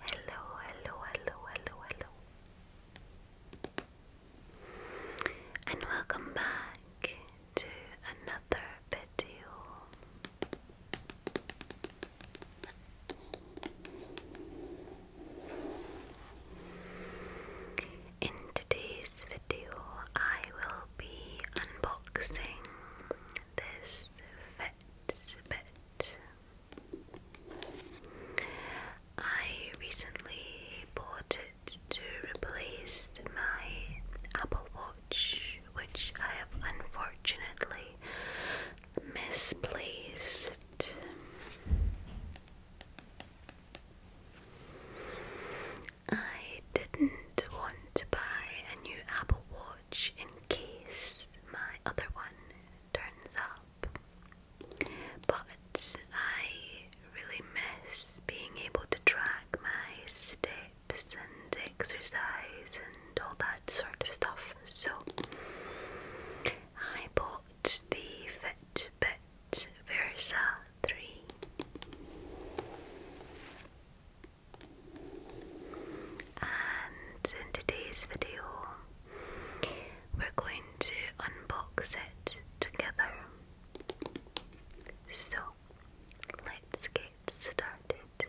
Hello. Hello, hello, hello, hello, hello. And welcome back to another video. In today's video, I will be unboxing this Fitbit. I recently bought it to replace my Apple Watch, which I have unfortunately misplaced. I didn't want to buy a new Apple Watch in case my other one turns up, but I really miss being able to track my steps and exercise and all that sort of stuff. So I bought the Fitbit Versa 3. And in today's video, we're going to unbox it together. So, let's get started.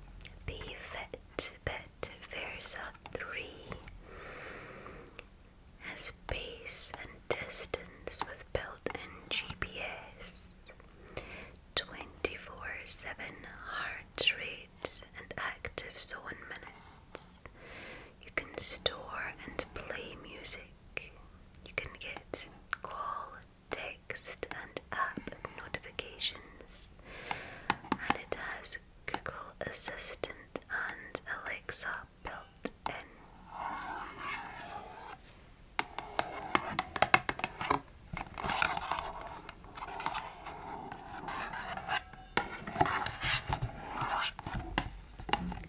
the Vetbet Versa 3 has pace and distance with built-in GPS, 24-7 heart rate and active zone minutes. You can store and play music. You can get call text and app notifications, and it has Google Assistant and Alexa built in.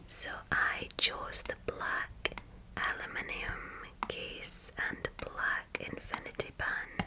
So I chose the black aluminium case and black infinity band.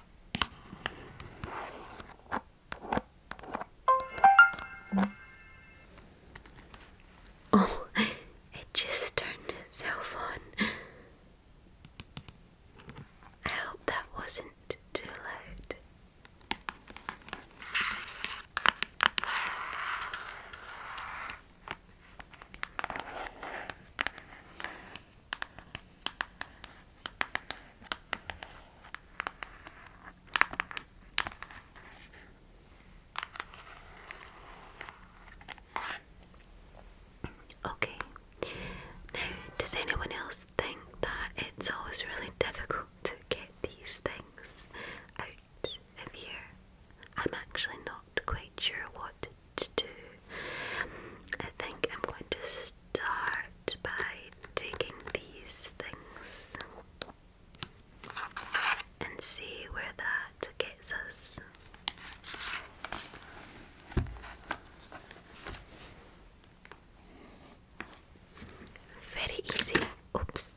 Oh, it just turned itself on. I hope that wasn't too loud. Okay, now does anyone else think that it's always really difficult to get these things out of here? I'm actually not quite sure what to do I think I'm going to start by taking these things and see where that gets us. Very easy. Oops.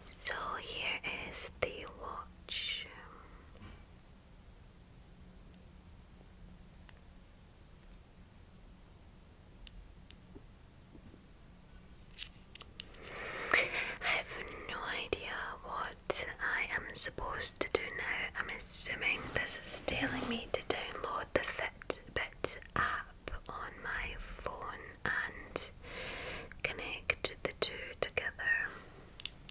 So here is the watch. I have no idea what I am supposed to do now. I'm assuming this is telling me to download the Fitbit app on my phone and connect the two together.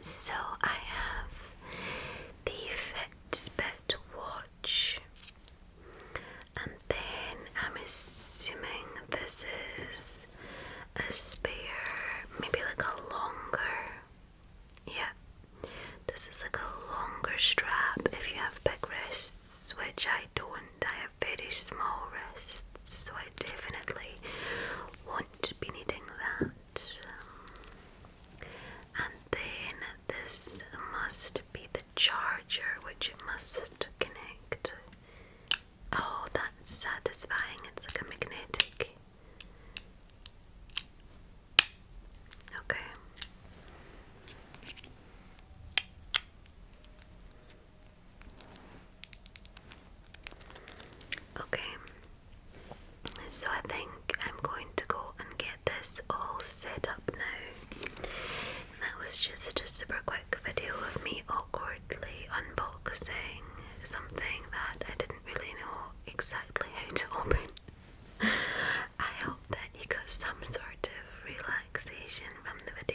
So I have the Fitbit watch. And then I'm assuming this is a spare, maybe like a longer. Yeah, this is like a longer strap if you have big wrists, which I don't. I have very small wrists, so I definitely won't be needing that. Um, and then this must be charger which it must connect. Oh, that's satisfying. It's like a magnetic. Okay. Okay. So I think I'm going to go and get this all set up now. That was just a super quick video of me awkwardly unboxing something that I didn't really know exactly how to open. I hope that you got some sort of relaxation from the video.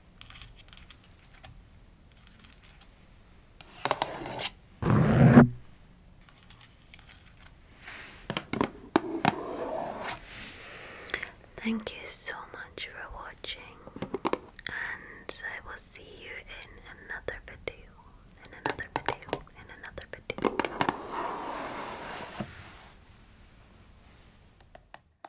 Thank you so much for watching, and I will see you in another video, in another video, in another video.